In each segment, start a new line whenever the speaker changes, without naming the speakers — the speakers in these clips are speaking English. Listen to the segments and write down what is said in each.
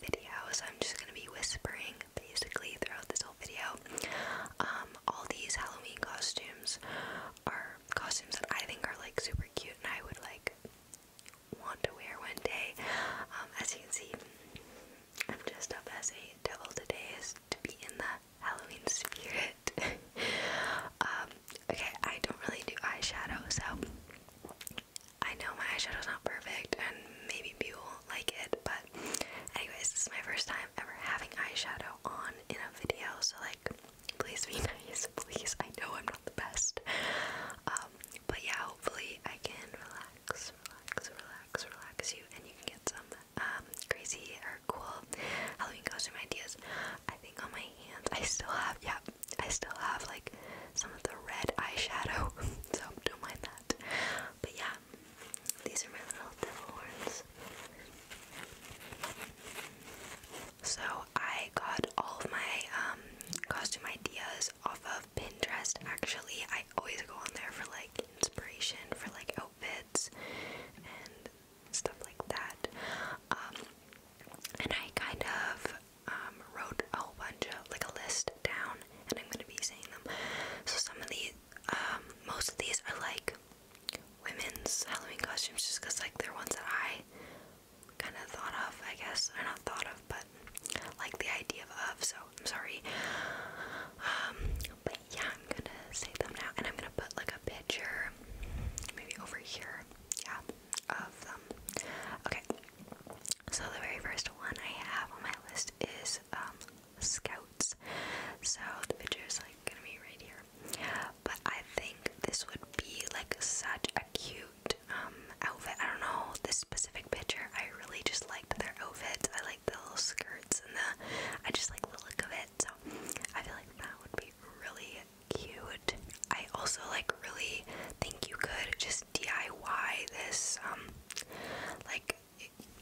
video, I'm just gonna be whispering basically throughout this whole video. Um, all these Halloween costumes are costumes that I think are like super cute and I would like want to wear one day. Um, as you can see, I'm just up as a devil today, is to be in the Halloween spirit. Um, okay, I don't really do eyeshadow, so I know my eyeshadow is not perfect and maybe people won't like it, but anyways, this is my first time ever having eyeshadow on in a video, so like please be nice, please. I know I'm not the best. Um, but yeah, hopefully I can relax, relax, relax, relax you and you can get some um, crazy or cool Halloween costume ideas. I think on my hands I still have yeah, I still have like some of the red eyeshadow so don't mind that. But yeah, these are my little devil horns. So I got all of my um, costume ideas off of Pinterest. Actually, I always go on there for like inspiration for like outfits and stuff like that. Um, and I kind of um, wrote a whole bunch of like a list down, and I'm gonna be saying them. So some of these, um, most of these are like women's Halloween costumes, just because like they're ones that I kind of thought of, I guess, or not thought of, but like the idea of. So I'm sorry. Um, but yeah, I'm gonna say them now, and I'm gonna put like a picture, maybe over here. Yeah of them. Okay, so the very first one I have on my list is um, Scouts. So the picture is like gonna be right here, but I think this would be like such a cute um, outfit. I don't know this specific picture. I really just liked their outfits. I like the little skirts and the. I just like the look of it. So I feel like that would be really cute. I also like really think you could just DIY this. Um, like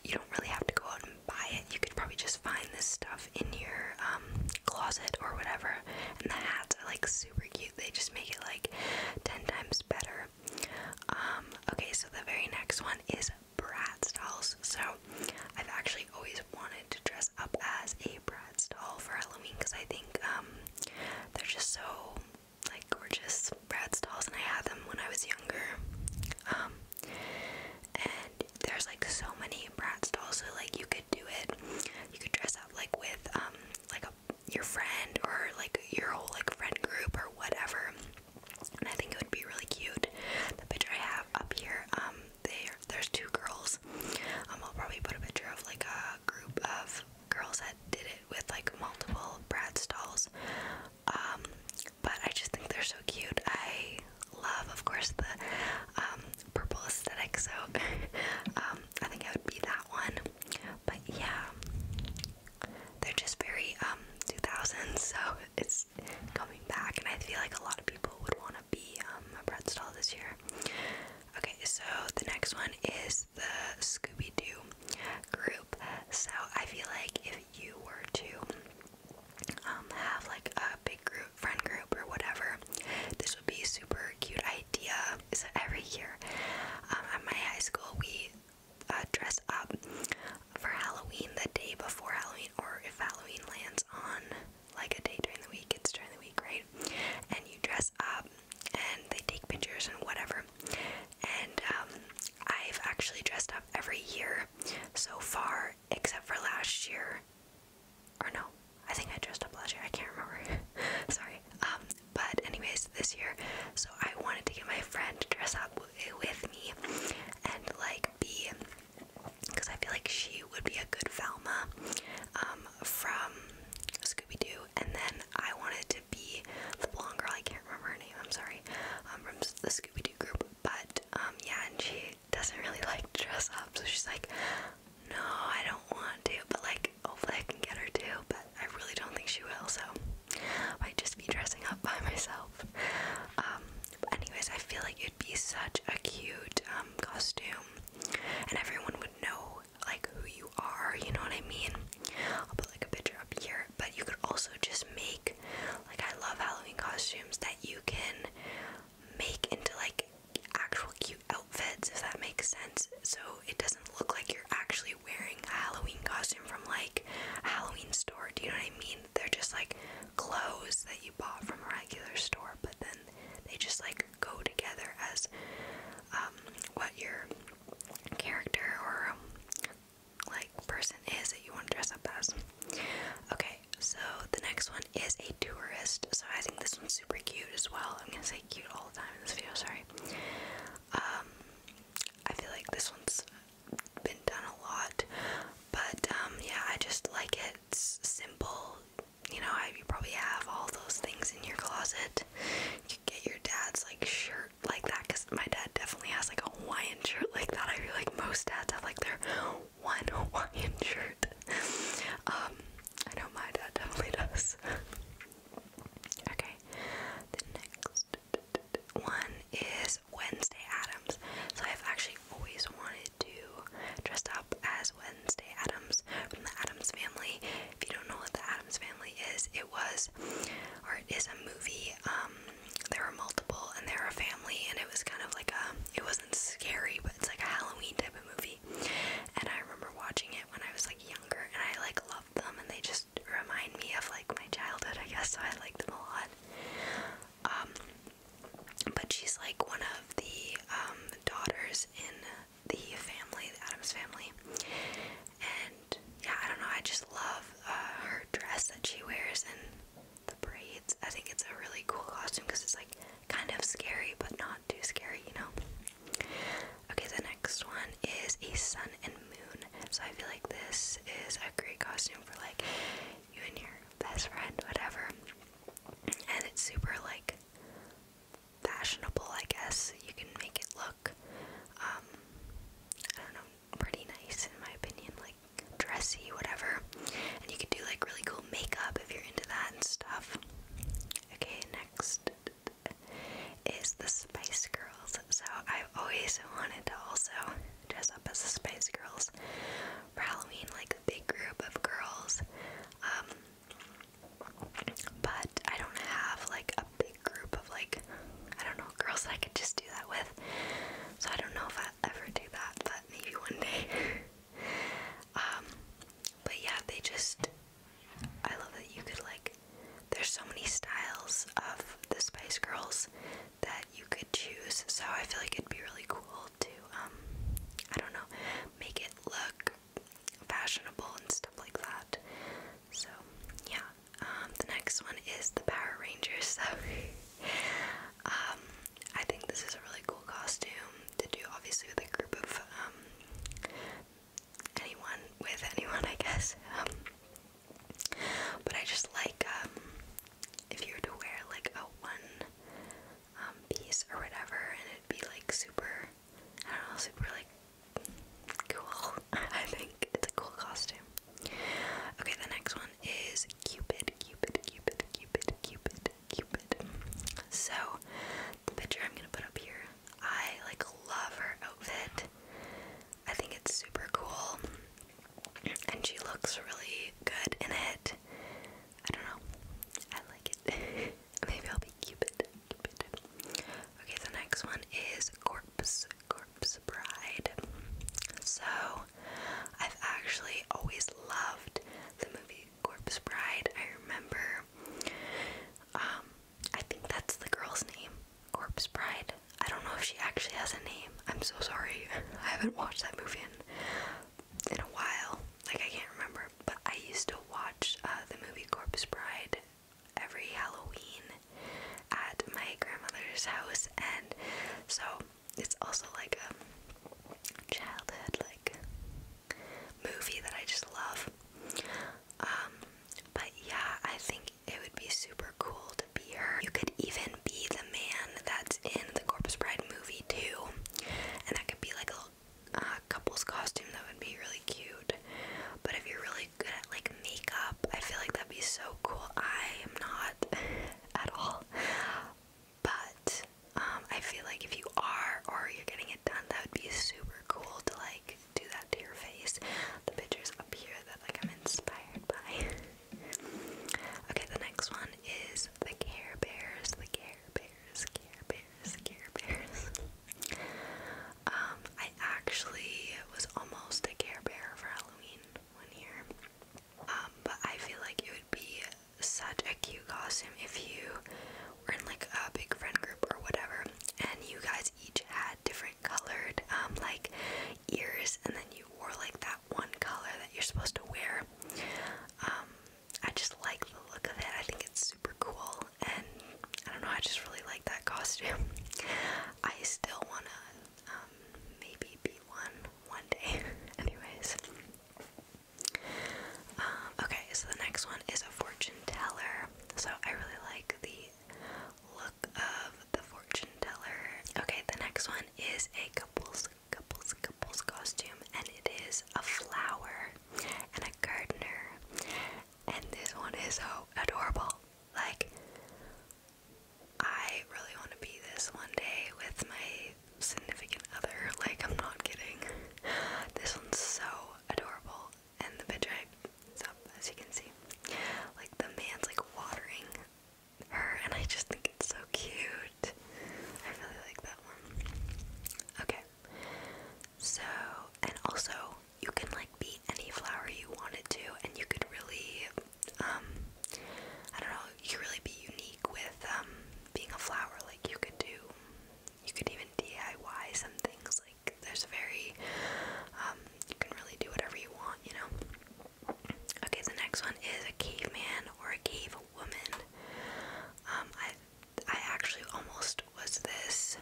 you don't really have to go out and buy it. You could probably just find this stuff in your um, closet or whatever. And the hats are like super cute. They just make it like ten times better. Um, okay, so the very next one is Bratz styles. So I've actually always wanted to dress up as a Bratz style for Halloween because I think they're just so like gorgeous Bratz dolls, and I had them when I was younger. Um, and there's like so many Bratz dolls, so like you could do it. You could dress up like with um like a your friend or like your whole like friend group or whatever. And I think it would be really cute. The picture I have up here, um, there there's two girls. Um, I'll probably put a picture of like a group of girls that did it with like multiple Brad stalls. Um, but I just think they're so cute. I love, of course, the um, purple aesthetic, so um, I think it would be that one. But yeah, they're just very um, 2000s, so it's coming back, and I feel like a lot of people would want to be a Brad stall this year. Okay, so the next one is the Scooby Doo group. So I feel like if you were to um, have like a big group, friend group, or whatever, this would be a super cute idea. So every year um, at my high school, we uh, dress up for Halloween the day before Halloween, or if Halloween lands on like a day during the week, it's during the week, right? And you dress up and they take pictures and whatever. And um, I've actually dressed up every year so far, except for last year. Or no, I think I dressed up last year. I can't remember. Sorry. Um, but anyways, this year, so I wanted to get my friend to dress up eh, with me and like be, because I feel like she would be a good Velma um, from Scooby Doo, and then I wanted to be the blonde girl. I can't remember her name. I'm sorry. Um, from the Scooby Doo group, but um, yeah, and she doesn't really like dress up, so she's like, no, I don't want to. But like, hopefully, I can get her too. But I really don't think she will. So I might just be dressing up by myself. Um, anyways, I feel like it'd be such a cute um, costume, and everyone would know like who you are, you know what I mean? I'll put like a picture up here, but you could also just make like I love Halloween costumes that you can make into like actual cute outfits if that makes sense. So it doesn't look like you're actually wearing a Halloween costume from like a Halloween store. Do you know what I mean? They're just like clothes that you bought from a regular store, but then they just like go together as um, what your character or um, like person is that you want to dress up as. Okay, so the next one is a tourist. So I think this one's super cute as well. I'm gonna say cute all the time in this video. Sorry. Um, I feel like this one's been done a lot, but um, yeah, I just like It's simple, you know, you probably have all those things in your closet. You get your dad's like shirt like that because my dad definitely has like a Hawaiian shirt like that. I feel like most dads have like their one Hawaiian shirt. Um, I know my dad definitely does. okay, the next one is Wednesday Adams. So I've actually always wanted to dress up as Wednesday Adams from the Adams Family. If you don't know what the Adams Family is, it was or it is a movie. Um, there were multiple, and they were a family, and it was kind of like a. It wasn't scary, but it's like a Halloween type of movie. And I remember watching it when I was like younger, and I like loved them, and they just remind me of like my childhood, I guess. So I like them a lot. Um, but she's like one of the um, daughters in the family, the Adams family. And yeah, I don't know. I just love uh, her dress that she wears and the braids. I think it's a really cool costume because it's like kind of scary, but not too scary, you know. Okay, the next one is a sun and moon. So I feel like this is a great costume for like you and your best friend, whatever. And it's super like like fashionable, I guess. You can make it look, um, I don't know, pretty nice in my opinion, like dressy, whatever. And you could do like really cool makeup if you're into that and stuff. Okay, next is the Spice Girls. So I've always wanted to also dress up as the Spice Girls for Halloween, like a big group of girls um, but I don't have like a big group of like, I don't know, girls that I could just do that with. So I don't know if I'll ever do that, but maybe one day. um, but yeah, they just, I love that you could like, there's so many styles of the Spice Girls that you could choose. So I feel like it'd be really cool to um I don't know, make it look fashionable and stuff like that. So yeah. Um, the next one is the Power Rangers. So um I think this is a really cool costume to do obviously with a group of um anyone with anyone I guess. Um, but I just like um if you were to wear like a one um, piece or whatever, and it'd be like super, I don't know, super like cool. I think it's a cool costume. Okay, the next one is Cupid, Cupid, Cupid, Cupid, Cupid, Cupid. So, the picture I'm gonna put up here, I like love her outfit. I think it's super cool, and she looks really good in it. I don't know. I like it. Maybe I'll be Cupid. Okay, the next one is Corpse. Corpse Bride. So, I've actually always loved the movie Corpse Bride. I remember, um, I think that's the girl's name, Corpse Bride. I don't know if she actually has a name. I'm so sorry. I haven't watched that movie in in a while. Like I can't remember, but I used to watch uh, the movie Corpse Bride every Halloween at my grandmother's house, and so it's also like a childhood like movie that I just love. Um, but yeah, I think it would be super cool to be her. You could even be man that's in the Corpus Bride movie too, and that could be like a uh, couple's costume. That would be really cute. But if you're really good at like makeup, I feel like that'd be so cool. I am not at all. But um, I feel like if you are or you're getting it done, that would be super cool to like do that to your face. The pictures up here that like I'm inspired by. Okay, the next one is the Care Bears, the Care Bears, Care Bears, Care Bears. um, I actually was almost a Care Bear for Halloween one year. Um, but I feel like it would be such a cute costume if you were in like a big friend group or whatever, and you guys each had different colored um like ears, and then you wore like that that one color that you're supposed to wear. Um, I just like the look of it. I think it's super cool, and I don't know. I just really like that costume. I still wanna um, maybe be one one day. Anyways, um, okay. So the next one is a fortune teller. So I really like the look of the fortune teller. Okay, the next one is a couple's couples, couples costume, and it is a flower and a gardener. And this one is so adorable. Like, I really want to be this one day with my significant other. Like, I'm not kidding. This one's so adorable. And the picture is up, as you can see. Like, the man's like watering her, and I just think it's so cute. I really like that one. Okay. So, and also, you can like be any flower you wanted to, and you could really, um, I don't know, you could really be unique with, um, being a flower. Like, you could do, you could even DIY some things. Like, there's very, um, you can really do whatever you want, you know? Okay, the next one is a caveman or a cave woman. Um, I I actually almost was this.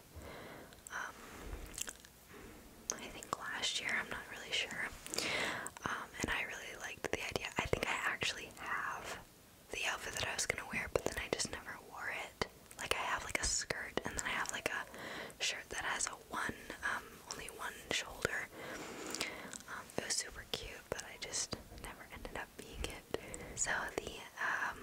Um, I think last year. I'm not really sure. Um, and I really liked the idea. I think I actually have the outfit that I was gonna wear, but then I just never wore it. Like I have like a skirt, and then I have like a shirt that has a so one, um, only one shoulder. Um, it was super cute, but I just never ended up being it. So the um,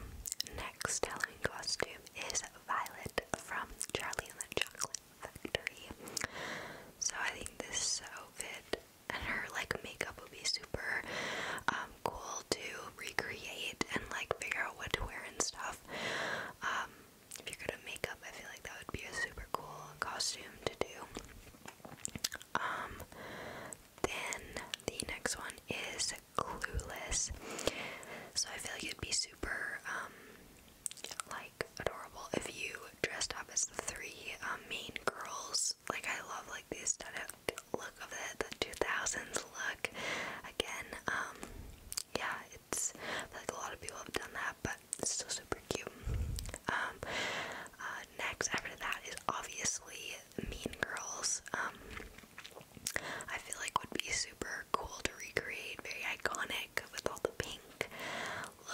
next Halloween costume is Violet from Charlie and the Chocolate Factory. So I think this so outfit and her like makeup would be super cool to recreate and like figure out what to wear and stuff if you're good at makeup, I feel like that would be a super cool costume to do. Um, then the next one is Clueless. So I feel like it'd be super, um, like adorable if you dressed up as three um, main girls. Like I love like the aesthetic look of it, the 2000s look. Again, yeah, it's like a lot of people have done that, but it's still super cute. Um, uh, next, after that, is obviously Mean Girls. Um, I feel like would be super cool to recreate, very iconic with all the pink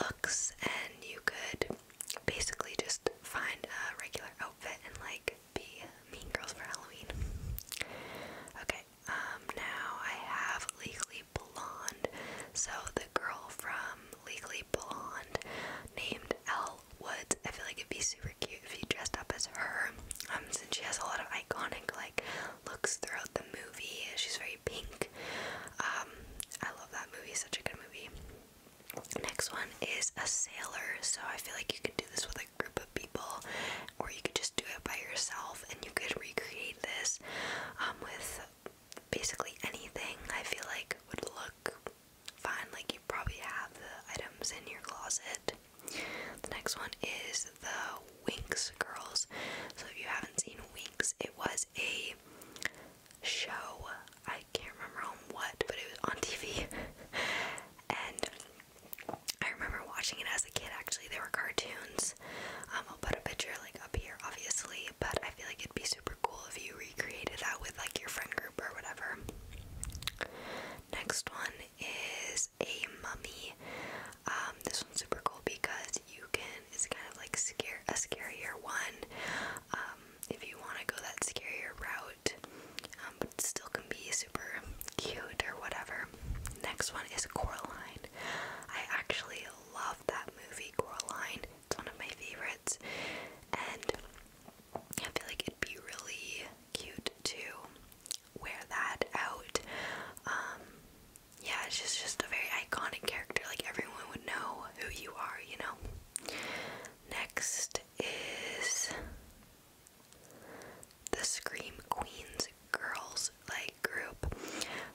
looks, and you could basically just find a regular outfit and like be Mean Girls for Halloween. Okay, um, now I have Legally Blonde. So the girl from Legally Blonde named Elle Woods. I feel like it'd be super cute if you dressed up as her. Um, since she has a lot of iconic like looks throughout the movie. She's very pink. Um, I love that movie, such a good movie. Next one is a sailor. So I feel like you could do this with a group of people or you could just do it by yourself and you could recreate this um, with basically anything I feel like would look fine. Like you probably have the items in your closet. The next one is the Winks Girls. So if you haven't seen Winks, it was a show. I can't remember on what, but it was on TV. and I remember watching it as a kid actually. There were cartoons um, I'll put a picture like up here, obviously, but I feel like it'd be super cool if you recreated that with like your friend group or whatever. Next one is a mummy. Um, this one's super cool because you can. It's kind of like a scarier one. Um, if you want to go that scarier route, but it still can be super cute or whatever. Next one is Coraline. I actually love that movie, Coraline. It's one of my favorites. And I feel like it'd be really cute to wear that out. Um, yeah, she's just a very iconic character. Like, everyone would know who you are, you know? Next is the Scream Queens girls like group.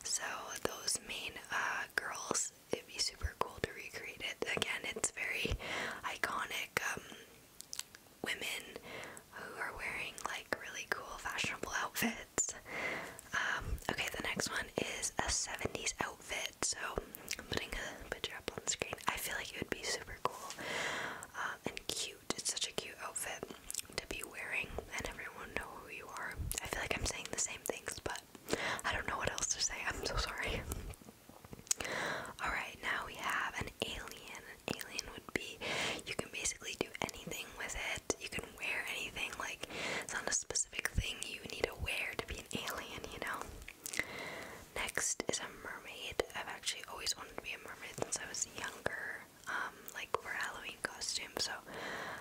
So those main uh, girls, it'd be super cool to recreate it. Again, it's very iconic um, women who are wearing like really cool fashionable outfits. Um, okay, the next one is a 70s outfit. So I'm putting a picture up on the screen. I feel like it would be super cool uh, and cute it's such a cute outfit to be wearing, and everyone know who you are. I feel like I'm saying the same things, but I don't know what else to say. I'm so sorry. All right, now we have an alien. An alien would be you can basically do anything with it. You can wear anything. Like it's not a specific thing you need to wear to be an alien, you know. Next is a mermaid. I've actually always wanted to be a mermaid since I was younger. Um, like for Halloween costume. So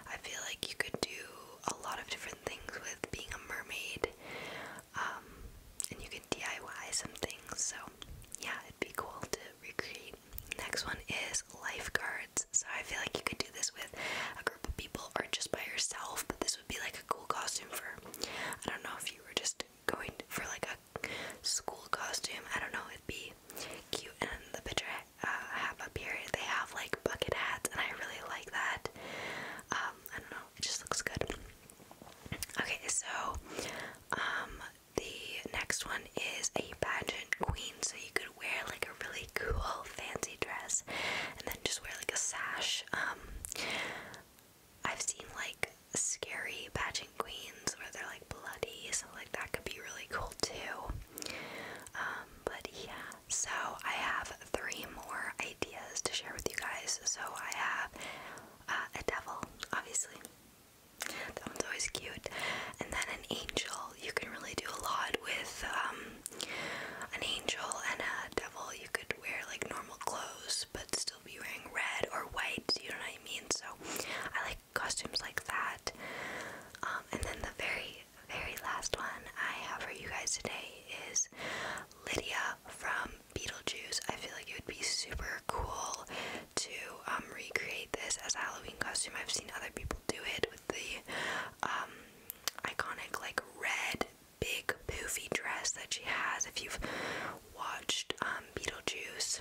I feel like you could do a lot of different things with being a mermaid, um, and you can DIY some things. So yeah, it'd be cool to recreate. Next one is lifeguards. So I feel like you could do this with a group of people or just by yourself, but this would be like a cool costume for I don't know if you were just going for like a school costume. I don't know, it'd be cute. And the picture I uh, have up here, they have like bucket hats, and I really like that. Um, I don't know, it just looks good. Okay, so um, the next one is a pageant queen, so you could wear like a really cool fancy dress and then just wear like a sash. Um, I've seen like scary pageant queens where they're like bloody, so like that could be really cool too. Um, so I have three more ideas to share with you guys. So I have uh, a devil, obviously. That one's always cute. And then an angel. You can really do a lot with um, an angel and a devil. You could wear like normal clothes, but still be wearing red or white, you know what I mean? So I like costumes like that. Um, and then the very, very last one I have for you guys today is Lydia from Beetlejuice. I feel like it would be super cool to um, recreate this as a Halloween costume. I've seen other people do it with the um, iconic, like, red, big, poofy dress that she has. If you've watched Beetlejuice,